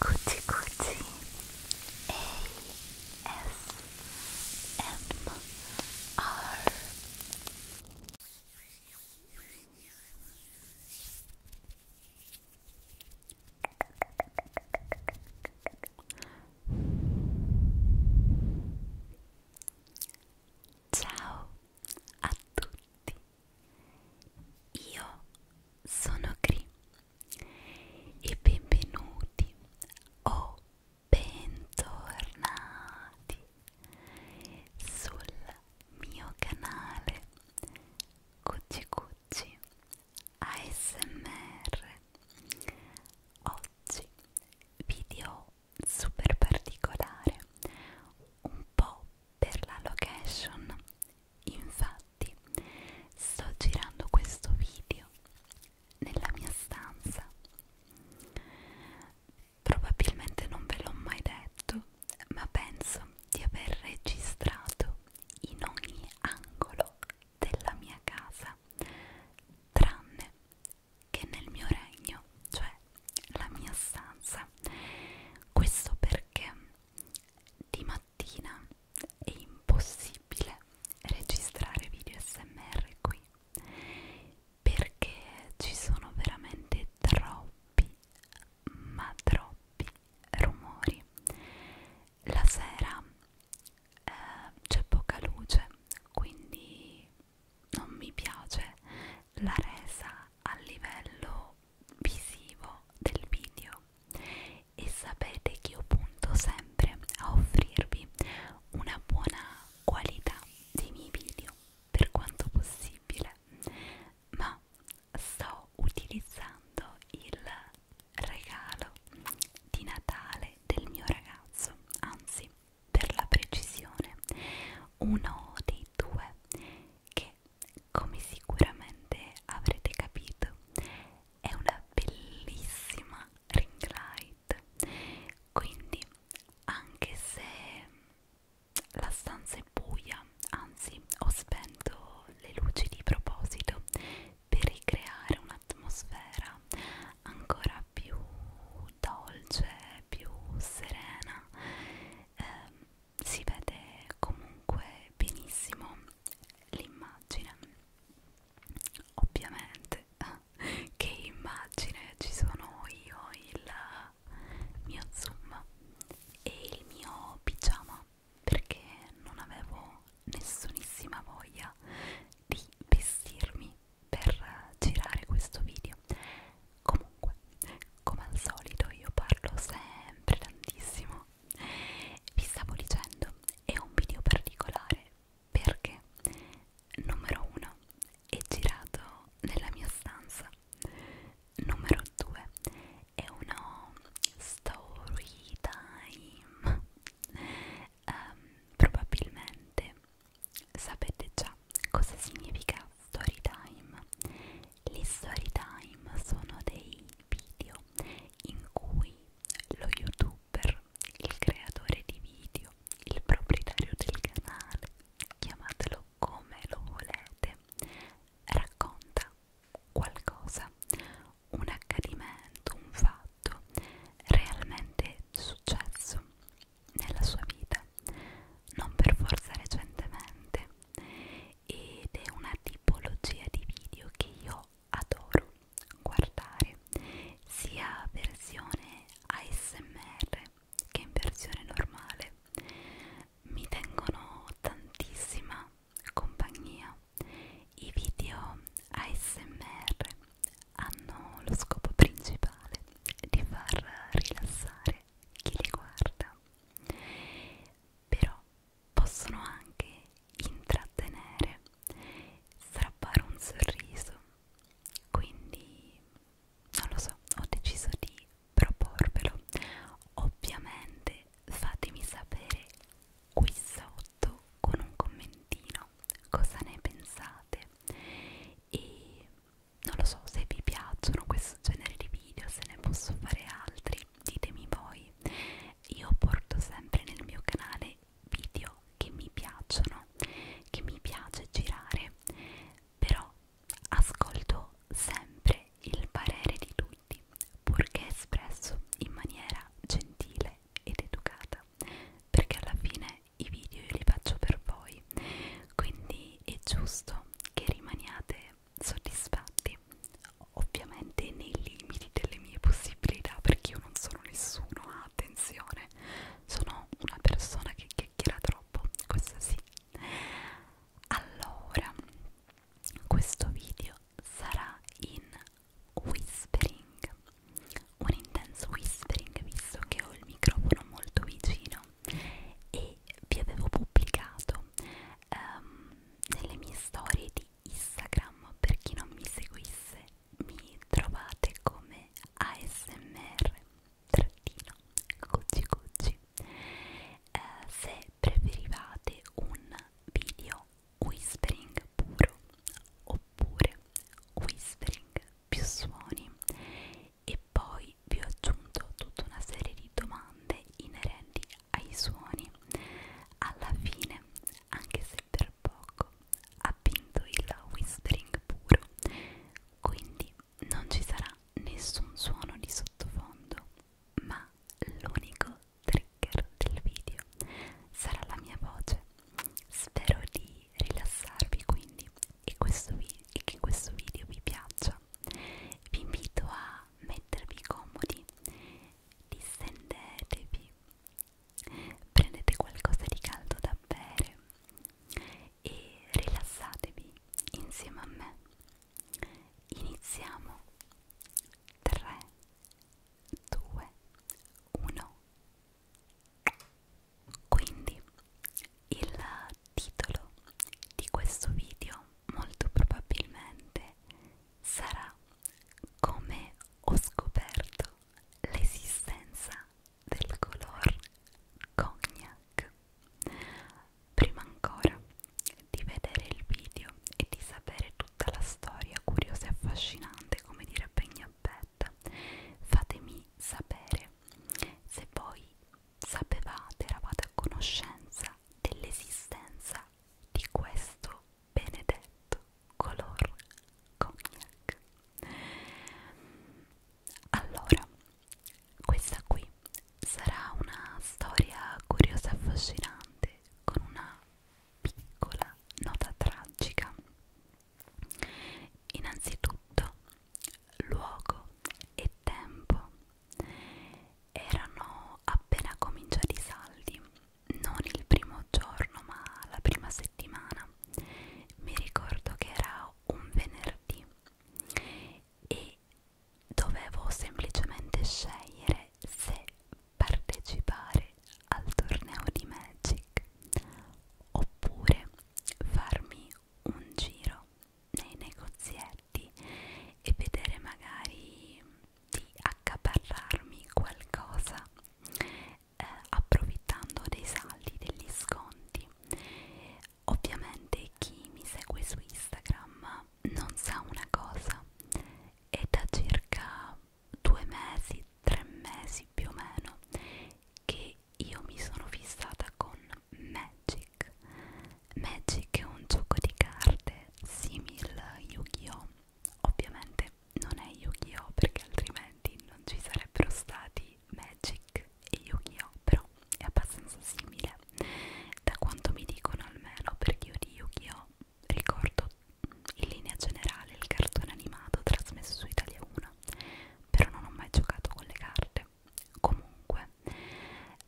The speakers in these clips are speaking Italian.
Kuti Kuti A S M R Ciao a tutti, io sono Gri e benvenuti o bentornati sul mio canale Cucci Cucci ASMR Oggi video super particolare un po' per la location infatti sto girando questo video nella mia stanza probabilmente non ve l'ho mai detto ma penso di aver registrato in ogni angolo della mia casa, tranne che nel mio regno, cioè la mia stanza. Questo perché di mattina è impossibile registrare video SMR qui perché ci sono veramente troppi ma troppi rumori. La sera eh, c'è poca luce, quindi non mi piace la resa a livello visivo del video e sapete che io punto sempre a offrirvi una buona qualità dei miei video per quanto possibile ma sto utilizzando il regalo di Natale del mio ragazzo, anzi per la precisione uno dei due che come sicuramente avrete capito è una bellissima ring light quindi anche se la stanza è buia, anzi ho spento le luci di proposito per ricreare un'atmosfera ancora più dolce, più serena. Eh, si vede comunque benissimo l'immagine. Ovviamente, che immagine ci sono io, il mio zoom e il mio pigiama perché non avevo nessunissima voglia di vestirmi per girare questo video comunque come al solito io parlo sempre tantissimo vi stavo dicendo è un video particolare perché numero uno è girato nella mia stanza Numero 2 è uno story time. Um, probabilmente sapete già cosa significa story time. Gli story time sono dei video in cui lo youtuber, il creatore di video, il proprietario del canale, chiamatelo come lo volete, racconta qualcosa, un accadimento, un fatto realmente successo nella sua vita, non per forza recentemente, ed è una tipologia di video che io adoro guardare, sia versione ASMR che in versione normale mi tengono tantissima compagnia. I video ASMR hanno lo scopo principale di far rilassare chi li guarda, però possono anche intrattenere, strappare un sorriso, quindi non lo so, ho deciso di proporvelo. Ovviamente fatemi sapere qui sotto con un commentino cosa ne pensate e non lo so se vi piacciono questo genere di video, se ne posso fare altri, ditemi voi. Io porto sempre nel mio canale video che mi piacciono, che mi piace girare, però Ascolto sempre il parere di tutti, purché espresso in maniera gentile ed educata, perché alla fine i video io li faccio per voi, quindi è giusto che rimaniate soddisfatti, ovviamente nei limiti delle mie possibilità, perché io non sono nessuno, attenzione, sono una persona che chiacchiera troppo, questo sì. Allora, questo video sarà in whispering, un intenso whispering visto che ho il microfono molto vicino e vi avevo pubblicato um, nelle mie storie di Instagram per chi non mi seguisse mi trovate come ASMR trattino cucci cucci eh, se preferivate un video whispering puro oppure whispering più suoni e poi vi ho aggiunto tutta una serie di domande inerenti ai suoni alla fine anche se per poco ha vinto il whispering puro quindi non ci sarà nessun suono di sottofondo, ma l'unico trigger del video sarà la mia voce. Spero di rilassarvi quindi e, questo vi e che questo video vi piaccia. Vi invito a mettervi comodi, distendetevi, prendete qualcosa di caldo da bere e rilassatevi insieme a me. Iniziamo 3, 2, 1. Quindi il titolo di questo video molto probabilmente sarà come ho scoperto l'esistenza del color cognac Prima ancora di vedere il video e di sapere tutta la storia curiosa e affascinante, come direbbe Gnappetta, fatemi sapere se voi sapevate, eravate a conoscenza dell'esistenza di questo benedetto color cognac. Allora, questa qui sarà una storia curiosa e affascinante con una piccola nota tragica. Innanzitutto, luogo e tempo erano appena cominciati i saldi, non il primo giorno ma la prima settimana. Mi ricordo che era un venerdì e dovevo semplicemente scegliere se partecipare al torneo di Magic oppure farmi un giro nei negozietti e vedere magari di accaparrarmi qualcosa eh, approfittando dei saldi degli sconti Ovviamente chi mi segue su Instagram non sa una cosa, è da circa due mesi, tre mesi più o meno che io mi sono fissata con Magic. Magic è un gioco di carte simile a Yu-Gi-Oh! Ovviamente non è Yu-Gi-Oh! perché altrimenti non ci sarebbero stati di Magic e Yu-Gi-Oh! però è abbastanza simile da quanto mi dicono almeno perché io di Yu-Gi-Oh! ricordo in linea generale il cartone animato trasmesso su Italia 1 però non ho mai giocato con le carte comunque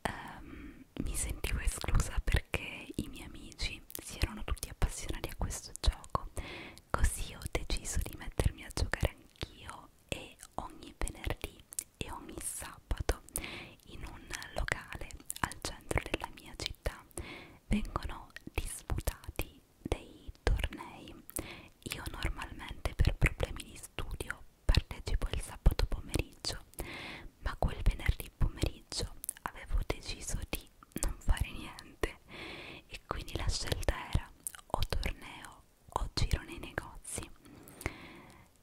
ehm, mi sentivo esclusa perché i miei amici si erano tutti appassionati a questo gioco così ho deciso di mettermi a giocare anch'io e ogni venerdì e ogni sabato in un locale al centro della mia città vengono disputati dei tornei. Io normalmente per problemi di studio partecipo il sabato pomeriggio, ma quel venerdì pomeriggio avevo deciso di non fare niente e quindi la scelta era o torneo o giro nei negozi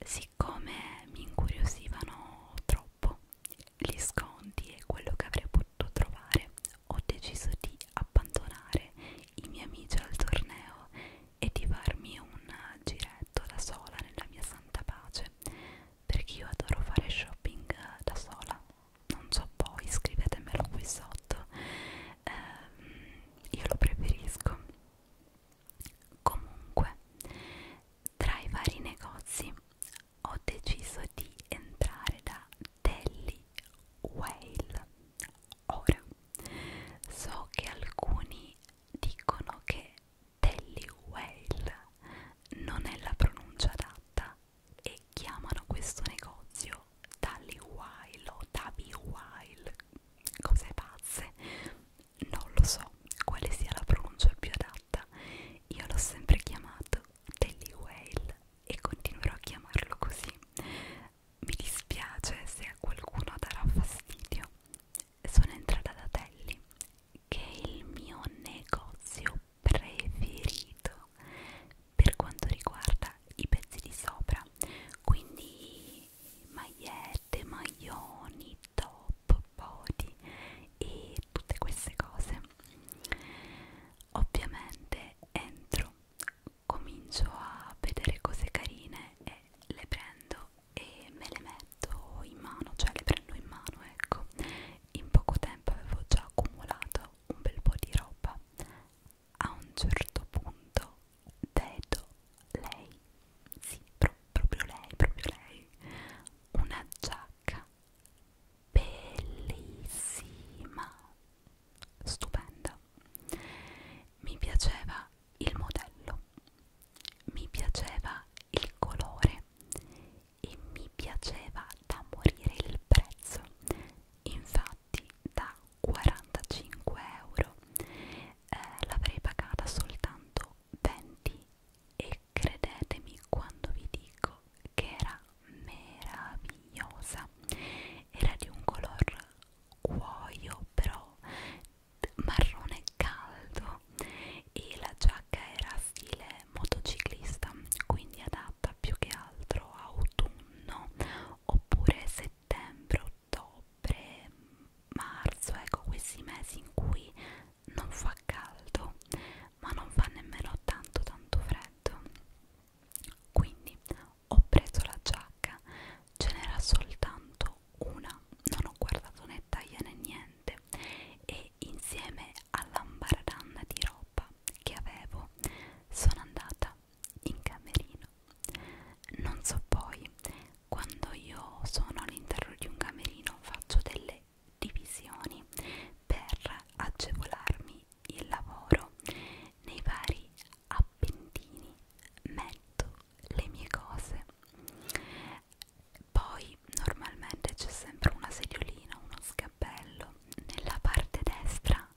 siccome mi incuriosivano troppo gli sconti e quello che avrei potuto trovare ho deciso di abbandonare i miei amici al torneo e di farmi un giretto da sola nella mia santa pace perché io adoro fare shopping da sola non so voi scrivetemelo qui sotto ehm, io lo preferisco comunque tra i vari negozi ho deciso di entrare da Delhi Whale ora so che alcuni dicono che Delhi Whale non è la pronuncia adatta e chiamano questo negozio Tally Whale o Tabi Whale cose pazze non lo so quale sia la pronuncia più adatta io l'ho sempre chiamato Telly Whale e continuerò a chiamarlo così mi dispiace se a qualcuno darà fastidio sono entrata da Telly che è il mio negozio preferito per quanto riguarda i pezzi di sopra quindi magliette, maglioni, top, body e tutte queste cose ovviamente entro comincio a vedere cose carine e le prendo e me le metto in mano cioè le prendo in mano ecco in poco tempo avevo già accumulato un bel po' di roba a un certo punto vedo lei, sì, pro proprio lei, proprio lei, una giacca bellissima, stupenda. Mi piaceva il modello, mi piaceva il colore e mi piaceva da morire il prezzo. Infatti da 45 euro eh, l'avrei pagata soltanto 20 e credetemi quando vi dico che era meravigliosa era di un color cuoio però marrone caldo e la giacca era stile motociclista quindi adatta più che altro a autunno oppure se settembre, ottobre, marzo, ecco questi mesi in cui non fa caldo, ma non fa nemmeno tanto tanto freddo. Quindi ho preso la giacca, ce n'era soltanto una, non ho guardato né taglia né niente e insieme all'ambaradanna di roba che avevo sono andata in camerino. Non so poi, quando io sono all'interno di un camerino faccio delle divisioni per agevolarmi il lavoro nei vari appendini metto le mie cose poi normalmente c'è sempre una sediolina uno scappello nella parte destra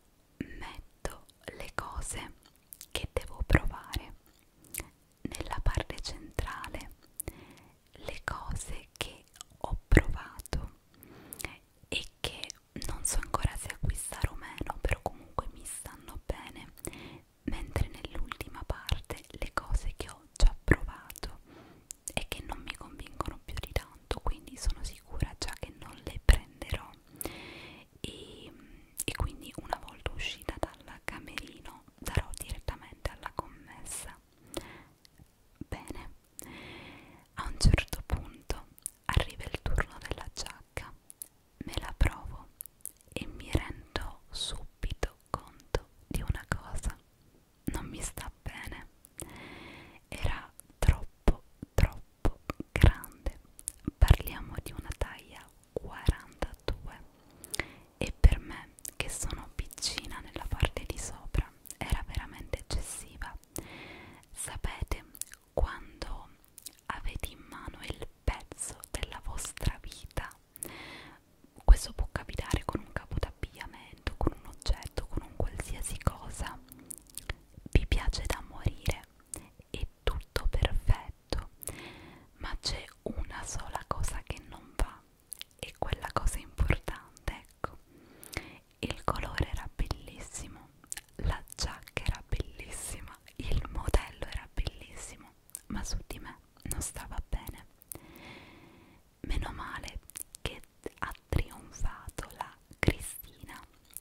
metto le cose che devo provare nella parte centrale le cose che ho provato e che non so ancora se acquistare o meno però comunque mi stanno bene mentre nell'ultima parte le cose che ho già provato e che non mi convincono più di tanto quindi sono sicura già che non le prenderò e, e quindi una volta uscita dal camerino darò direttamente alla commessa bene a un certo punto arriva il turno della giacca me la provo e mi rendo subito conto di una cosa non mi sta bene era troppo troppo grande parliamo di una taglia 42 e per me che sono piccina nella parte di sopra era veramente eccessiva sapete quando avete in mano il pezzo della vostra vita questo può capitare con un capo d'abbigliamento, con un oggetto, con un qualsiasi cosa vi piace da morire è tutto perfetto, ma c'è una sola cosa che non va e quella cosa importante, ecco. Il colore era bellissimo, la giacca era bellissima, il modello era bellissimo, ma su di me non stava bene. Meno male che ha trionfato la Cristina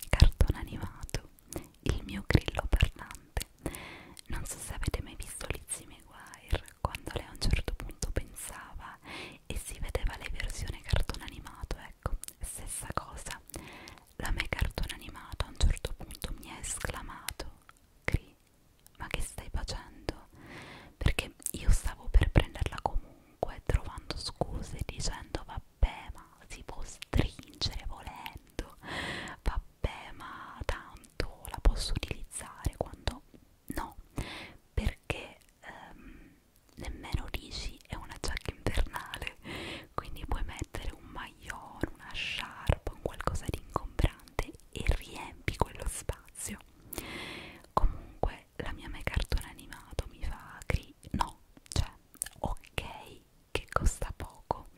cartone animato il mio grillo parlante non so se avete mai visto Lizzie McGuire quando lei a un certo punto pensava e si vedeva la versione cartone animato ecco stessa cosa la me cartone animato a un certo punto mi ha esclamato Cri ma che stai facendo? Perché io stavo per prenderla comunque trovando scuse dicendo vabbè vabbè ma si può stringere volendo, vabbè ma tanto la posso utilizzare quando no, perché ehm, nemmeno dici è una giacca invernale, quindi puoi mettere un maglione, una sciarpa, un qualcosa di ingombrante e riempi quello spazio. Comunque la mia me cartone animato mi fa cri... no, cioè ok che costa poco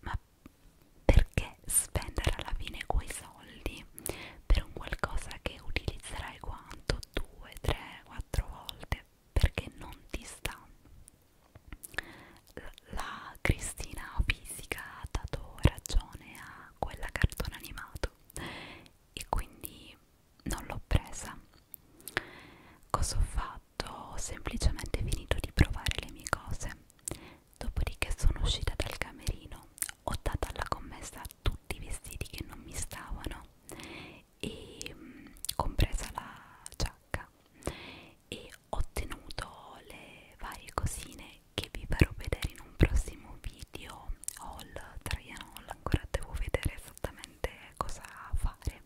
ma perché spendere alla fine quei soldi per un qualcosa che utilizzerai quanto? 2, 3, 4 volte perché non ti sta la Cristina fisica ha dato ragione a quella cartone animato e quindi non l'ho presa. Cosa ho fatto? Ho semplicemente finito di provare le mie cose. Dopodiché sono uscita dal camerino, ho dato alla commessa tutti i vestiti che non mi stavano, e, mm, compresa la giacca, e ho ottenuto le varie cosine che vi farò vedere in un prossimo video haul Traian Hall. Ancora devo vedere esattamente cosa fare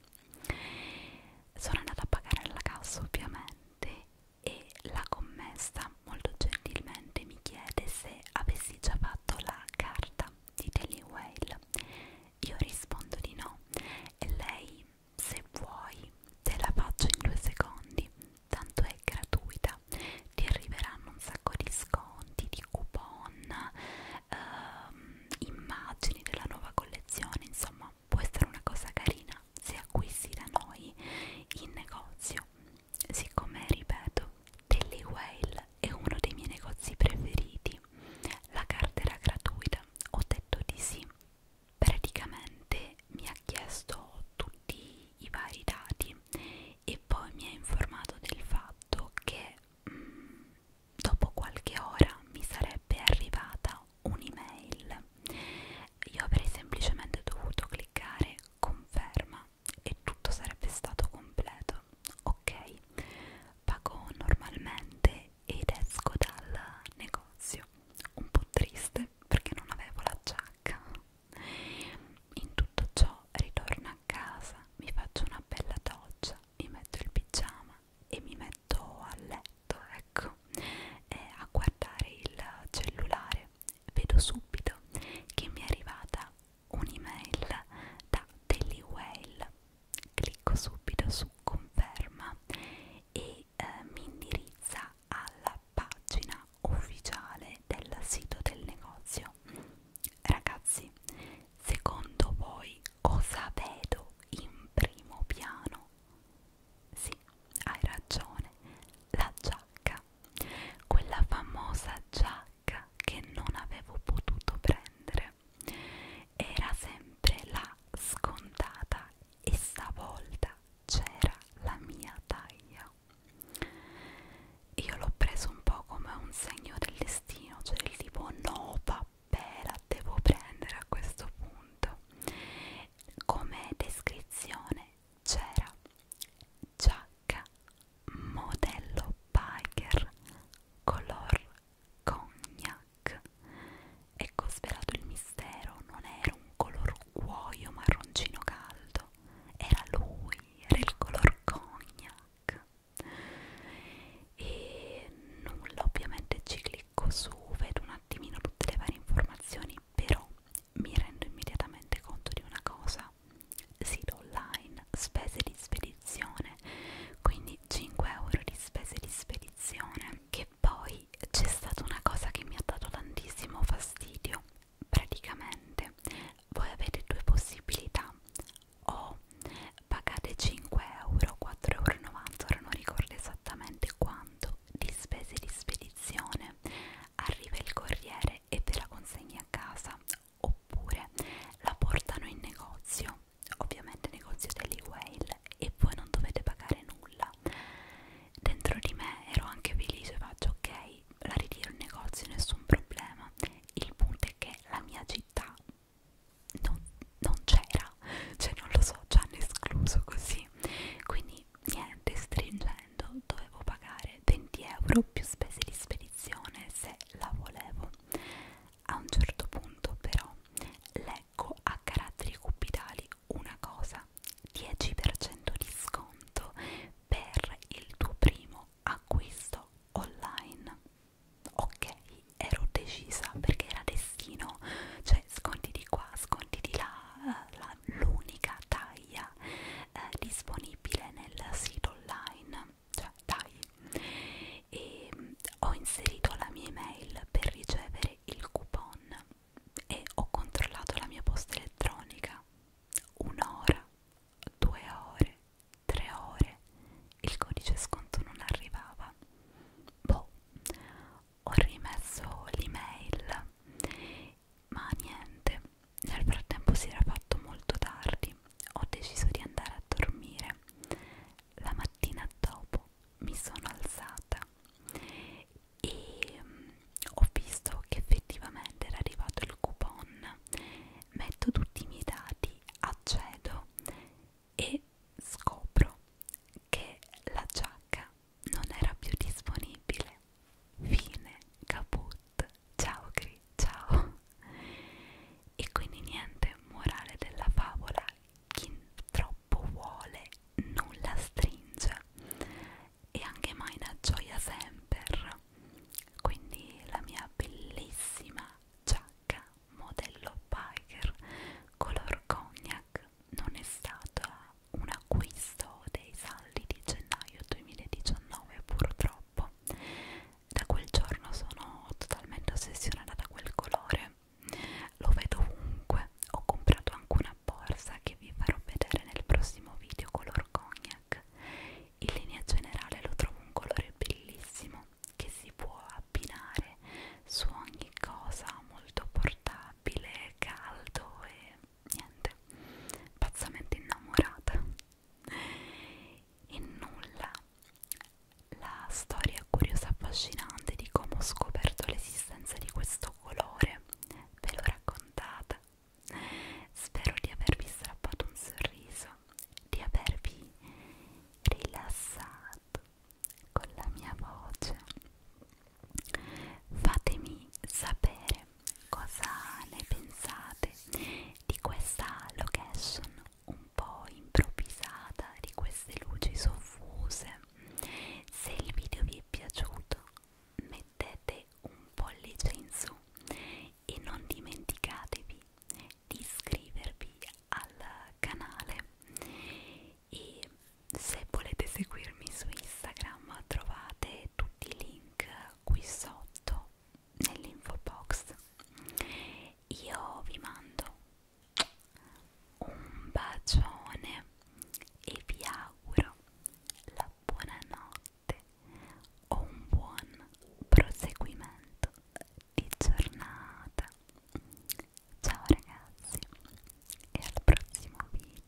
sono andata a pagare alla cassa ovviamente e la commessa molto gentilmente mi chiede se avessi già fatto la carta di Daily Whale io rispondo di no e lei se vuoi te la faccio in due secondi tanto è gratuita ti arriveranno un sacco di sconti di coupon ehm, immagini della nuova collezione insomma può essere una cosa carina se acquisti da noi in negozio siccome ripeto Telly Whale è uno dei miei negozi preferiti la carta era gratuita ho detto di sì praticamente mi ha chiesto tutti i vari dati e poi mi ha informato del fatto che dopo qualche ora mi sarebbe arrivata un'email. Io avrei semplicemente dovuto cliccare conferma e tutto sarebbe stato completo. Ok, pago normalmente ed esco dal negozio. Un po' triste perché non avevo la giacca. In tutto ciò ritorno a casa, mi faccio una bella doccia, mi metto il pigiama e mi metto a letto, ecco, e a guardare il cellulare vedo subito che mi è arrivata un'email da Daily Whale. Clicco subito su conferma e eh, mi indirizza alla pagina ufficiale del sito del negozio Ragazzi, secondo voi cosa vedo in primo piano? Sì, hai ragione, la giacca, quella famosa giacca che non avevo potuto prendere. Era sempre la scontata e stavolta c'era la mia taglia io l'ho preso un po' come un segno del destino, cioè il tipo no vabbè la devo prendere a questo punto. Come descrizione c'era giacca modello biker color cognac. Ecco svelato il mistero, non era un color cuoio marroncino caldo, era lui, era il color cognac e nulla ovviamente ci clicco su vedo un attimino tutte le varie informazioni però mi rendo immediatamente conto di una cosa sito online spese di spedizione quindi 5 euro di spese di spedizione che poi c'è stata una cosa che mi ha dato tantissimo fastidio praticamente voi avete due possibilità o pagate 5 euro, 4,90 euro, ora non ricordo esattamente quanto, di spese di spedizione, arriva il corriere e ve la consegna a casa, oppure la portano in negozio, ovviamente negozio degli Whale, e voi non dovete pagare nulla. Dentro di me ero anche felice, faccio ok, poi la ritiro in negozio, nessun problema. Il punto è che la mia città non, non c'era, cioè non lo so, ci hanno escluso così. Quindi niente, stringendo dovevo pagare 20 euro più spese di spedizione se la volevo. A un certo punto però leggo a caratteri cupidali una cosa, 10% di sconto per il tuo primo acquisto online ok ero decisa perché era destino cioè sconti di qua sconti di là l'unica taglia eh, disponibile nel sito online cioè dai e mm, ho inserito la mia email per ricevere il coupon e ho controllato la mia posta elettronica un'ora, due ore, tre ore il codice sconto non arrivava boh ho rimesso l'email ma niente nel frattempo si era fatto molto tardi ho deciso di andare a dormire la mattina dopo mi sono alzata e mm, ho visto che effettivamente era arrivato il coupon metto tutti i miei dati, accedo e scopro che la giacca non era più disponibile. Fine, caput, ciao Gri, ciao. E quindi niente, morale della favola, chi troppo vuole nulla stringe e anche mai una gioia sempre quindi la mia bellissima giacca modello biker color cognac non è stata un acquisto dei saldi di gennaio 2019 purtroppo da quel giorno sono totalmente ossessionata da quel colore lo vedo ovunque ho comprato anche una borsa che vi farò vedere nel prossimo video color cognac in linea generale lo trovo un colore bellissimo che si può abbinare su ogni cosa, molto portabile, caldo e niente, pazzamente innamorata. E nulla, la storia curiosa e affascinante di come ho scoperto l'esistenza di questo colore, ve l'ho raccontata Spero di avervi strappato un sorriso, di avervi rilassato con la mia voce. Fatemi sapere cosa ne pensate di questa location un po' improvvisata, di queste luci soffuse. Se il video vi è piaciuto, mettete mettete un pollice in su e non dimenticatevi di iscrivervi al canale e se volete seguirmi su Instagram trovate tutti i link qui sotto nell'info box io vi mando un bacione e vi auguro la buonanotte notte o un buon proseguimento di giornata. Ciao ragazzi e al prossimo video.